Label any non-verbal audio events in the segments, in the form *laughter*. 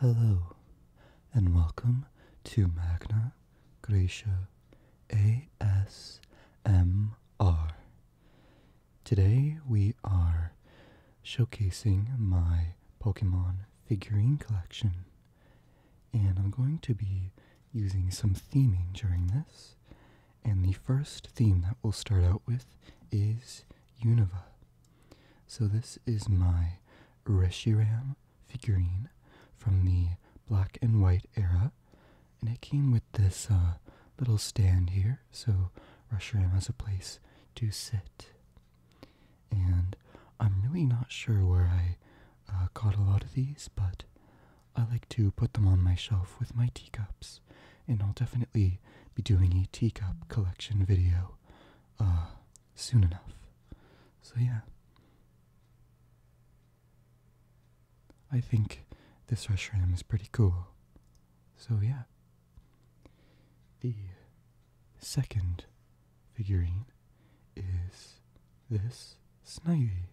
Hello, and welcome to Magna Gracia ASMR. Today we are showcasing my Pokemon figurine collection, and I'm going to be using some theming during this. And the first theme that we'll start out with is Unova. So this is my Reshiram figurine from the black and white era. And it came with this uh, little stand here, so Reshiram has a place to sit. And I'm really not sure where I uh, caught a lot of these, but I like to put them on my shelf with my teacups. And I'll definitely be doing a teacup collection video uh, soon enough. So, yeah. I think this ashram is pretty cool. So, yeah. The second figurine is this Snivy.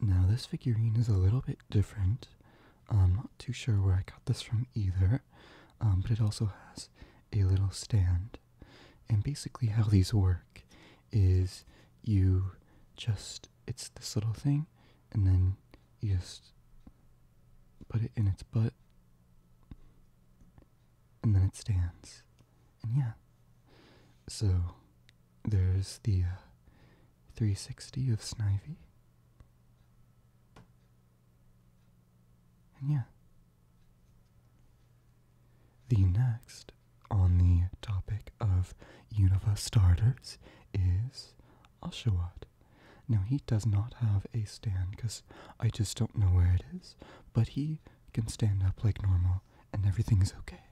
Now, this figurine is a little bit different. I'm not too sure where I got this from either. Um, but it also has a little stand. And basically, how these work is you just, it's this little thing, and then you just put it in its butt, and then it stands. And yeah. So there's the uh, 360 of Snivy yeah. The next on the topic of universe starters is Oshawott. Now he does not have a stand because I just don't know where it is, but he can stand up like normal and everything's okay.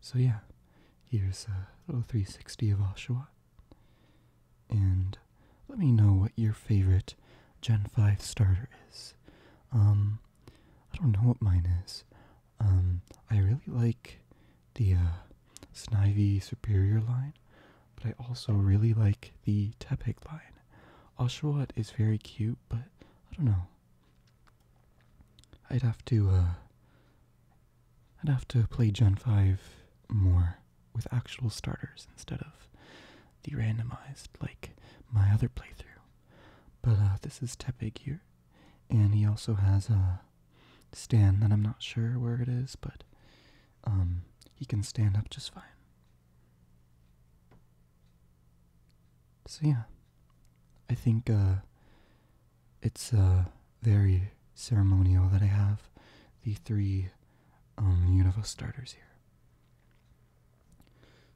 So yeah, here's a little 360 of Oshawott. And let me know what your favorite Gen 5 starter is. Um, I don't know what mine is. Um, I really like the uh, Snivy Superior line, but I also really like the Tepig line. Oshawott is very cute, but I don't know. I'd have to, uh, I'd have to play Gen 5 more with actual starters instead of the randomized like my other playthrough. But uh, this is Tepe Gear, and he also has a stand that I'm not sure where it is, but um, he can stand up just fine. So yeah, I think uh, it's uh, very ceremonial that I have the three um, universe starters here.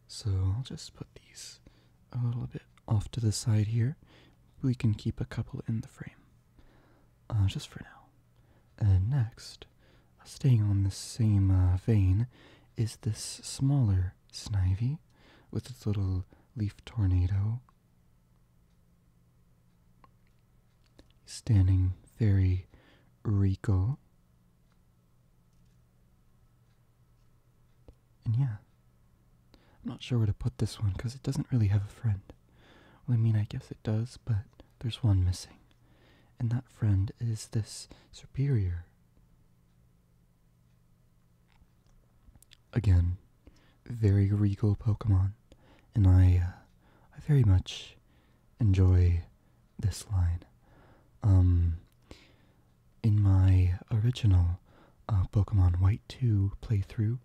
So I'll just put these a little bit off to the side here. We can keep a couple in the frame, uh, just for now. And next, staying on the same uh, vein, is this smaller Snivy with its little leaf tornado standing very regal. And yeah, I'm not sure where to put this one because it doesn't really have a friend. Well, I mean, I guess it does, but there's one missing. And that friend is this superior. Again, very regal Pokemon, and I, uh, I very much enjoy this line. Um, in my original uh, Pokemon White 2 playthrough,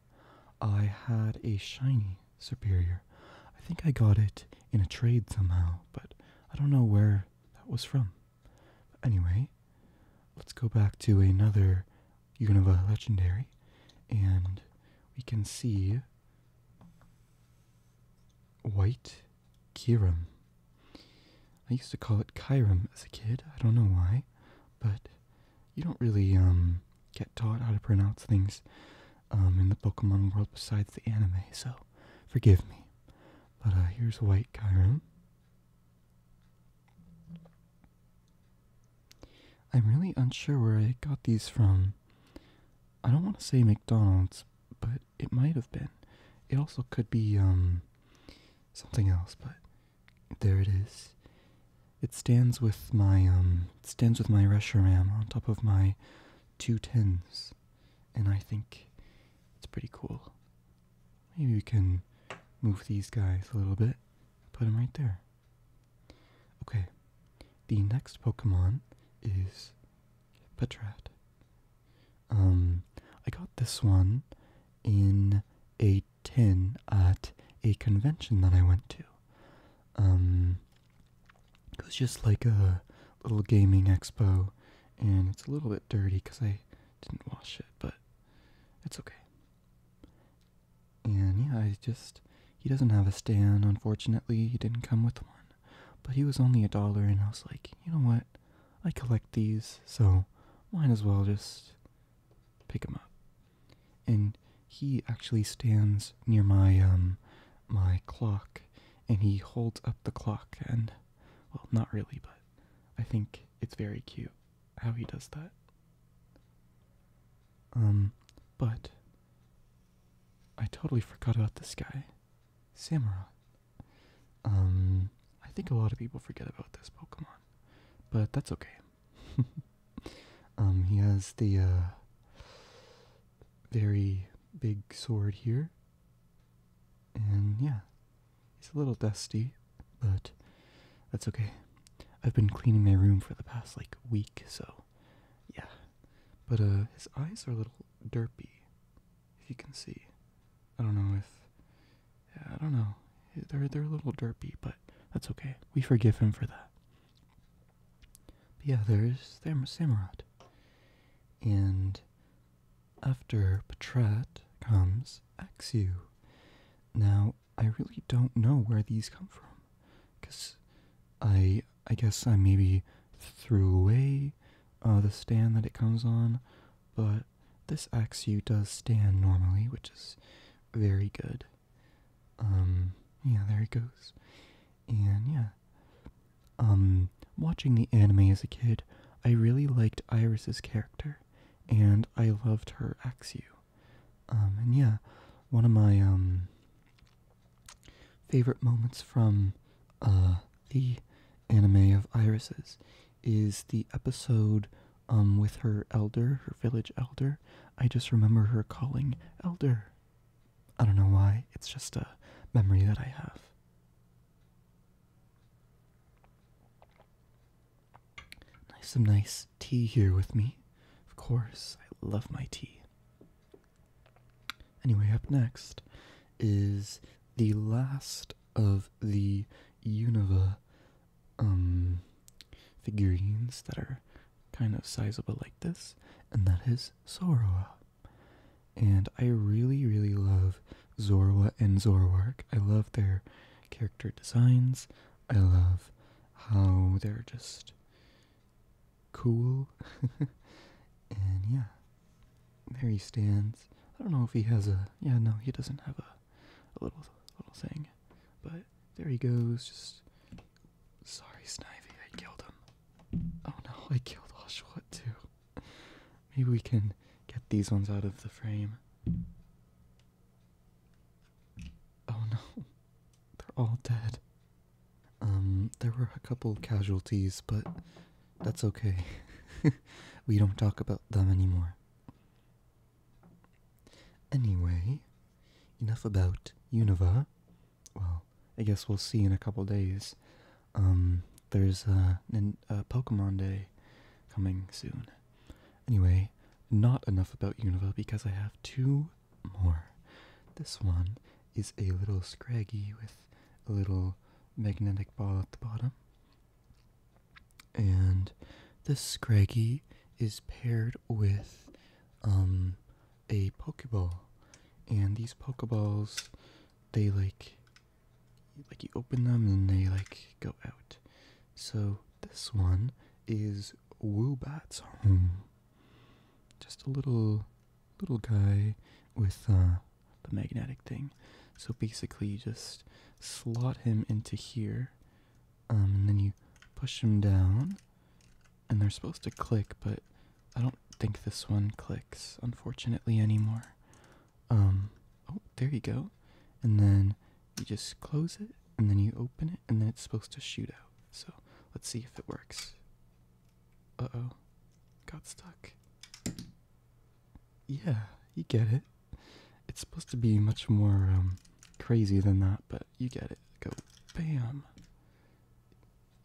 I had a shiny Superior. I think I got it in a trade somehow, but I don't know where that was from. anyway, let's go back to another Unova Legendary, and we can see White Kiram. I used to call it Kiram as a kid. I don't know why, but you don't really um get taught how to pronounce things um in the Pokemon world besides the anime, so forgive me. But uh here's White Kiram. I'm really unsure where I got these from. I don't want to say McDonald's, but it might have been. It also could be um, something else, but there it is. It stands with my um, stands with my Reshiram on top of my two tins, and I think it's pretty cool. Maybe we can move these guys a little bit, put them right there. Okay, the next Pokemon is Patrat. Um, I got this one in a tin at a convention that I went to. Um, it was just like a little gaming expo, and it's a little bit dirty because I didn't wash it, but it's okay. And yeah, he just he doesn't have a stand, unfortunately. He didn't come with one. But he was only a dollar and I was like, you know what? I collect these, so might as well just pick him up. And he actually stands near my um my clock and he holds up the clock and well not really but I think it's very cute how he does that. Um but I totally forgot about this guy, Samurai. Um, I think a lot of people forget about this Pokemon, but that's okay. *laughs* um, he has the uh, very big sword here, and yeah, he's a little dusty, but that's okay. I've been cleaning my room for the past like week, so yeah. But uh, his eyes are a little derpy, if you can see. I don't know if. Yeah, I don't know. They're they're a little derpy, but that's okay. We forgive him for that. But yeah, there's Sam Samurott, and after Patrat comes Axu. Now I really don't know where these come from, cause I I guess I uh, maybe threw away uh, the stand that it comes on, but this XU does stand normally, which is very good. Um, yeah, there it goes. And yeah. Um, watching the anime as a kid, I really liked Iris's character, and I loved her Axu. Um, and yeah, one of my, um, favorite moments from uh, the anime of Irises is the episode um, with her elder, her village elder. I just remember her calling elder. I don't know why, it's just a memory that I have. Nice, some nice tea here with me. Of course, I love my tea. Anyway, up next is the last of the Unova um, figurines that are kind of sizable like this, and that is Zorua. And I really, really love Zorua and Zoroark. I love their character designs. I love how they're just cool. *laughs* and yeah, there he stands. I don't know if he has a. Yeah, no, he doesn't have a, little little thing. But there he goes. Just sorry, Snivy, I killed him. Oh no, I killed Oshawott too. Maybe we can get these ones out of the frame. Oh no, they're all dead. Um, there were a couple casualties, but that's okay. *laughs* we don't talk about them anymore. Anyway, enough about Unova. Well, I guess we'll see in a couple days. Um, there's a, Pokemon Day coming soon. Anyway, not enough about Unova because I have two more. This one is a little scraggy with a little magnetic ball at the bottom. And this scraggy is paired with um, a Pokeball. And these Pokeballs, they like, like you open them and they like go out. So this one is Woobat's home. Just a little little guy with uh, the magnetic thing. So basically, you just slot him into here, um, and then you push him down, and they're supposed to click, but I don't think this one clicks, unfortunately, anymore. Um, oh, there you go. And then you just close it, and then you open it, and then it's supposed to shoot out. So let's see if it works. Uh oh. Got stuck. Yeah, you get it. It's supposed to be much more um, crazy than that, but you get it. Go bam.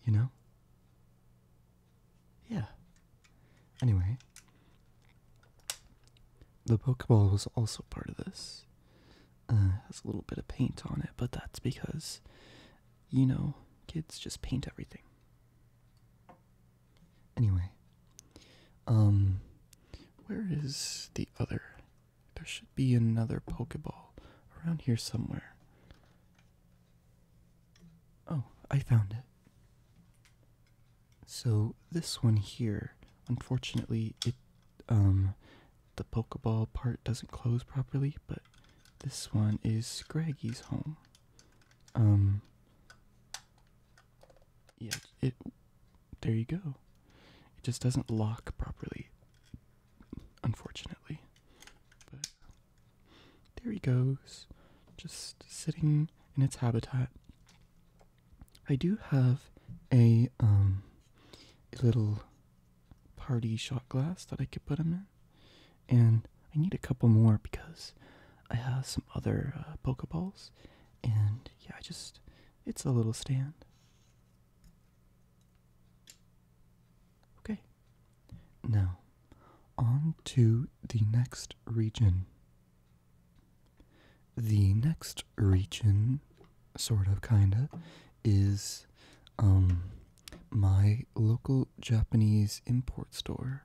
You know? Yeah. Anyway, the Pokeball was also part of this. Uh, has a little bit of paint on it, but that's because, you know, kids just paint everything. Anyway, um, where is the other? There should be another Pokeball around here somewhere. Oh, I found it. So this one here, unfortunately, it um the Pokeball part doesn't close properly, but this one is Scraggy's home. Um, yeah, it. There you go. It just doesn't lock properly, unfortunately. But there he goes, just sitting in its habitat. I do have a um, little party shot glass that I could put them in. And I need a couple more because I have some other uh, Pokeballs. And yeah, I just, it's a little stand. Okay. Now, on to the next region. The next region, sort of, kinda, is um my local Japanese import store,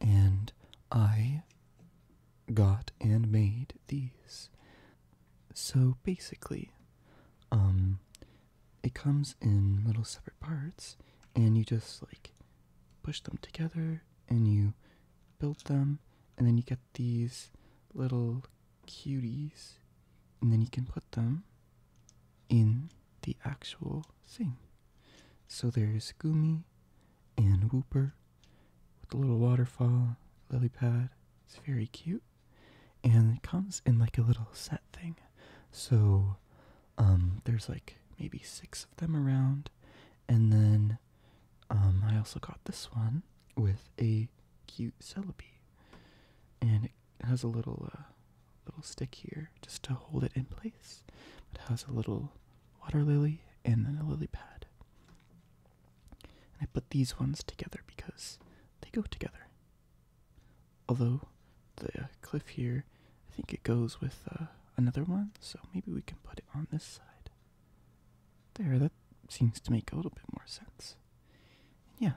and I got and made these. So basically, um, it comes in little separate parts, and you just like push them together and you build them, and then you get these little cuties, and then you can put them in the actual thing. So there's Gumi and Whooper with a little waterfall, lily pad. It's very cute. And it comes in like a little set thing. So um, there's like maybe six of them around. And then um, I also got this one with a cute Celebi. And it has a little uh, little stick here just to hold it in place. It has a little water lily and then a lily pad. I put these ones together because they go together. Although the cliff here, I think it goes with uh, another one, so maybe we can put it on this side. There, that seems to make a little bit more sense yeah,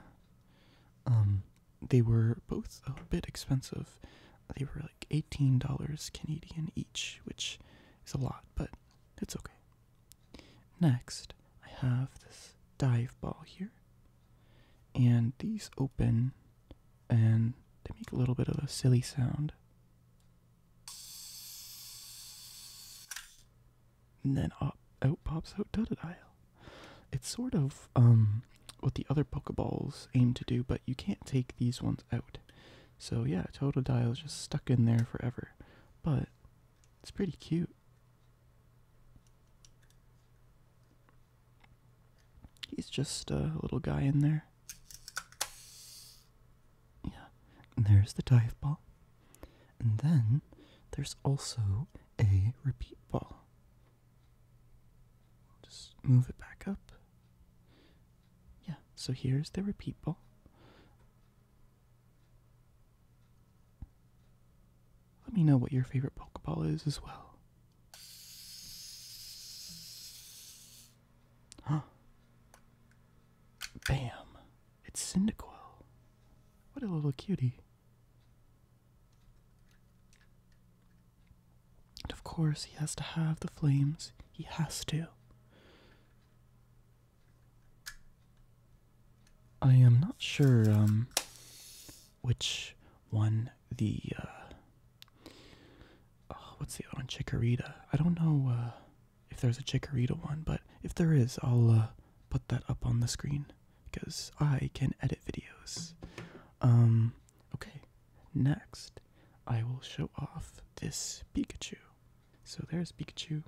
um, they were both a bit expensive. They were like eighteen dollars Canadian each, which is a lot, but it's okay. Next, I have this dive ball here, and these open, and they make a little bit of a silly sound and then out pops out Totodile. It's sort of um, what the other Pokeballs aim to do, but you can't take these ones out. So yeah, Totodile is just stuck in there forever. But it's pretty cute. He's just a little guy in there. Yeah, and there's the dive ball. And then there's also a repeat ball. Just move it back up. Yeah, so here's the repeat ball. Let me know what your favorite Pokeball is as well. Huh. Bam! It's Cyndaquil. What a little cutie. And of course, he has to have the flames. He has to. I am not sure um, which one the. Uh, oh, what's the other one? Chikorita. I don't know uh, if there's a Chikorita one, but if there is, I'll uh, put that up on the screen because I can edit videos. Um, okay, next I will show off this Pikachu. So there's Pikachu.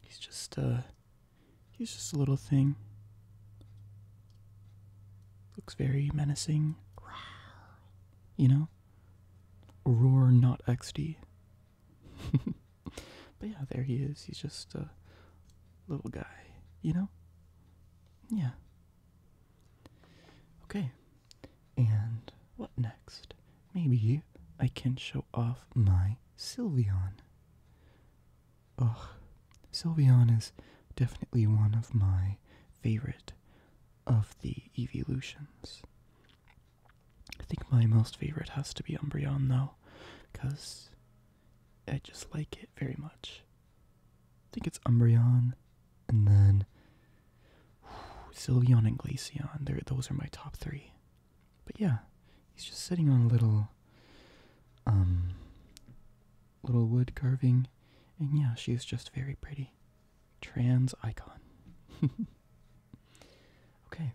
He's just a, uh, he's just a little thing. Looks very menacing. You know? Roar not XD. *laughs* but yeah, there he is. He's just a little guy, you know? Yeah. Okay. And what next? Maybe I can show off my Sylveon. Ugh. Sylveon is definitely one of my favorite of the evolutions. I think my most favorite has to be Umbreon though, because I just like it very much. I think it's Umbreon, and then whew, and Glaceon. they those are my top three. But yeah, he's just sitting on a little, um, little wood carving, and yeah, she's just very pretty. Trans icon. *laughs* okay,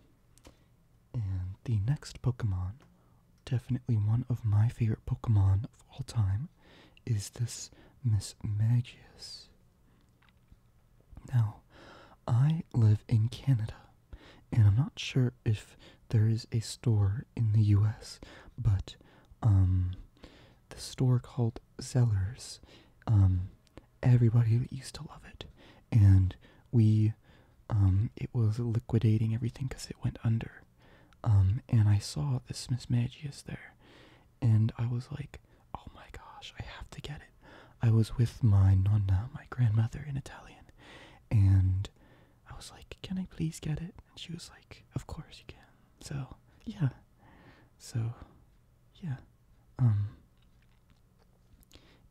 and the next Pokemon, definitely one of my favorite Pokemon of all time, is this Miss Magius. Now, I live in Canada, and I'm not sure if there is a store in the US, but um, the store called Zellers. Um, everybody used to love it and we um, it was liquidating everything because it went under. Um, and I saw this Miss Magius there, and I was like, oh my gosh, I have to get it. I was with my nonna, my grandmother in Italian, and I was like, can I please get it? And she was like, of course you can. So, yeah. So, yeah. Um,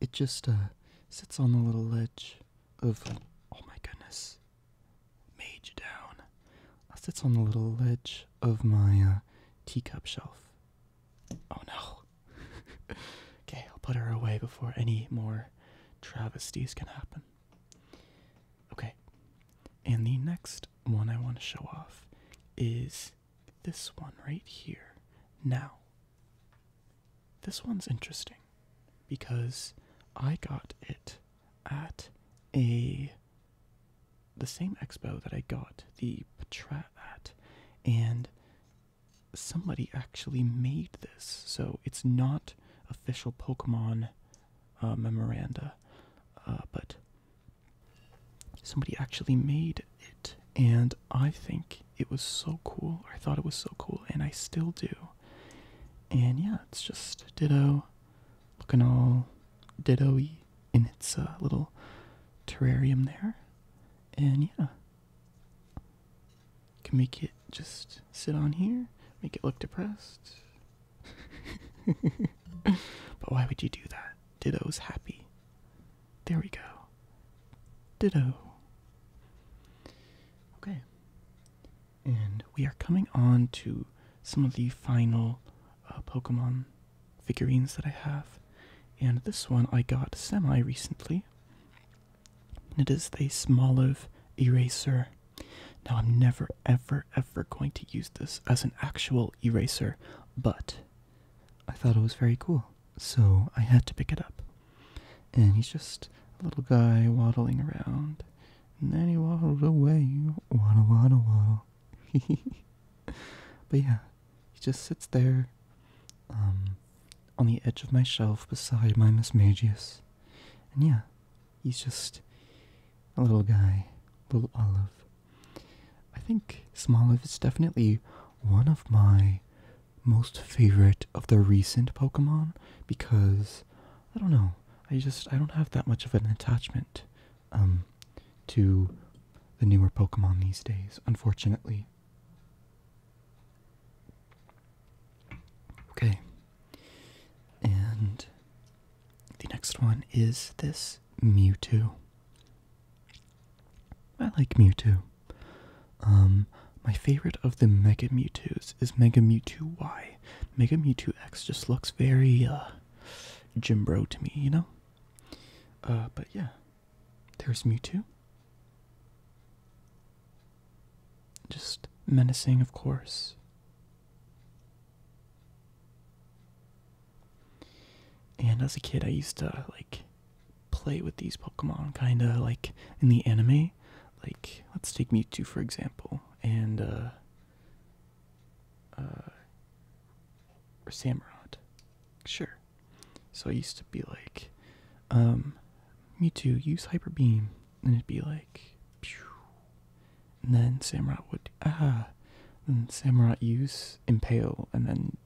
it just uh, sits on the little ledge of. Oh my goodness. Mage down. Uh, sits on the little ledge of my uh, teacup shelf. Oh no. *laughs* okay, I'll put her away before any more travesties can happen. Okay. And the next one I want to show off is this one right here. Now, this one's interesting because I got it at a the same expo that I got the Patrat at, and somebody actually made this, so it's not official Pokemon uh, memoranda, uh, but somebody actually made it, and I think it was so cool. I thought it was so cool, and I still do. And yeah, it's just Ditto looking all ditto y in its uh, little terrarium there. And yeah, can make it just sit on here, make it look depressed. *laughs* but why would you do that? Ditto's happy. There we go. Ditto. Okay. And we are coming on to some of the final uh, Pokemon figurines that I have. And this one I got semi recently. And it is the Smoliv Eraser. Now, I'm never, ever, ever going to use this as an actual eraser, but I thought it was very cool so I had to pick it up. And he's just a little guy waddling around. And then he waddled away. Waddle, waddle, waddle. *laughs* but yeah, he just sits there um, on the edge of my shelf beside my Miss Mismagius. And yeah, he's just a little guy, little olive. I think Smoliv is definitely one of my most favorite of the recent Pokemon because I don't know. I just I don't have that much of an attachment um to the newer Pokemon these days, unfortunately. Okay. And the next one is this Mewtwo. I like Mewtwo. Um, my favorite of the Mega Mewtwo's is Mega Mewtwo Y. Mega Mewtwo X just looks very uh, Jim Bro to me, you know. Uh, but yeah, there's Mewtwo. Just menacing, of course. And as a kid, I used to like play with these Pokemon, kind of like in the anime. Like, let's take Mewtwo for example, and uh, uh, or Samurott. Sure. So I used to be like, um, Mewtwo, use Hyper Beam, and it'd be like, and then Samurott would ah, and Samurott use Impale, and then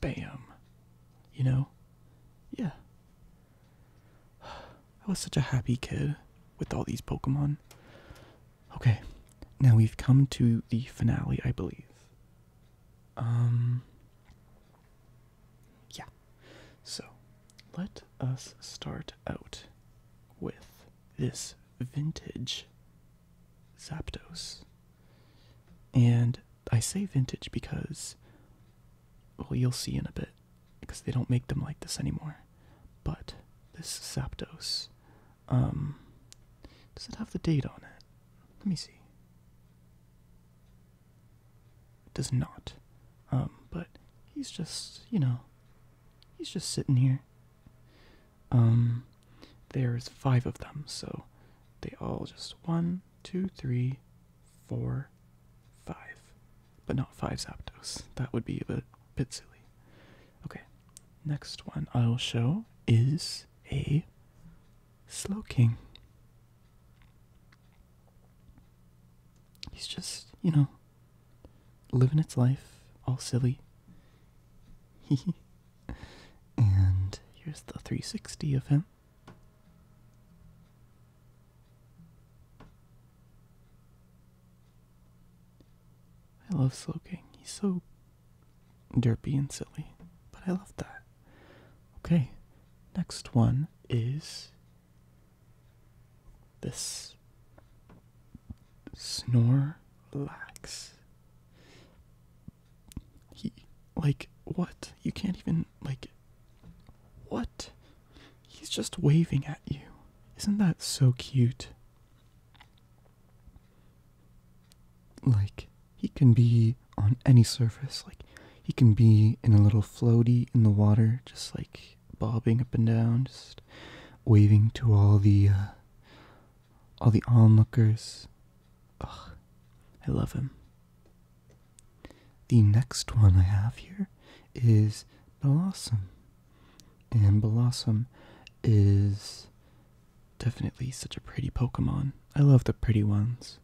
bam. You know? Yeah. I was such a happy kid with all these Pokemon. Okay, now we've come to the finale, I believe. Um. Yeah. So, let us start out with this vintage Zapdos. And I say vintage because well, you'll see in a bit because they don't make them like this anymore. But this Sapdos, um, does it have the date on it? Let me see. does not. Um, but he's just, you know, he's just sitting here. Um, there's five of them, so they all just one, Two, three, four, five, But not five Zapdos. That would be a bit, silly. Okay, next one I'll show is a sloking. He's just, you know, living its life, all silly. *laughs* and here's the 360 of him. I love Slow He's so derpy and silly, but I love that. Okay, next one is this snore lax. He, like, what? You can't even like what? He's just waving at you. Isn't that so cute? Like, he can be on any surface. Like, he can be in a little floaty in the water, just like bobbing up and down, just waving to all the uh, all the onlookers. Ugh, I love him. The next one I have here is Blossom. And Blossom is definitely such a pretty Pokemon. I love the pretty ones.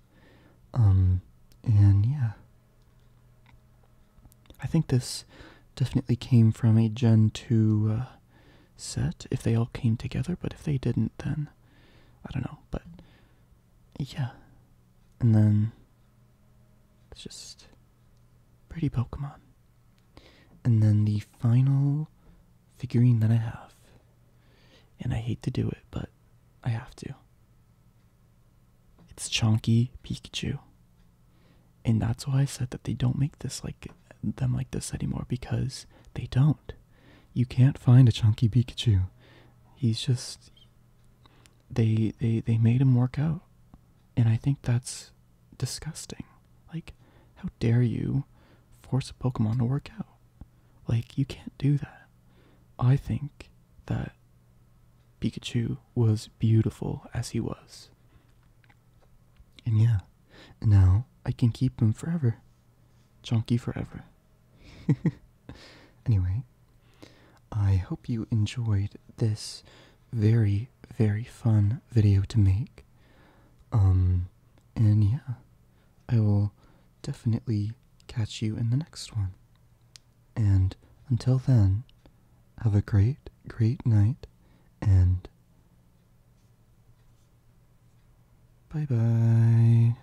Um, and yeah. I think this definitely came from a Gen 2 uh, set, if they all came together, but if they didn't, then I don't know. But yeah. And then it's just pretty Pokemon. And then the final figurine that I have, and I hate to do it, but I have to. It's Chunky Pikachu. And that's why I said that they don't make this like them like this anymore because they don't. You can't find a Chunky Pikachu. He's just they they they made him work out and i think that's disgusting like how dare you force a pokemon to work out like you can't do that i think that pikachu was beautiful as he was and yeah now i can keep him forever chunky forever *laughs* Anyway, I hope you enjoyed this very, very fun video to make. Um, and yeah, I will definitely catch you in the next one. And until then, have a great, great night and bye bye.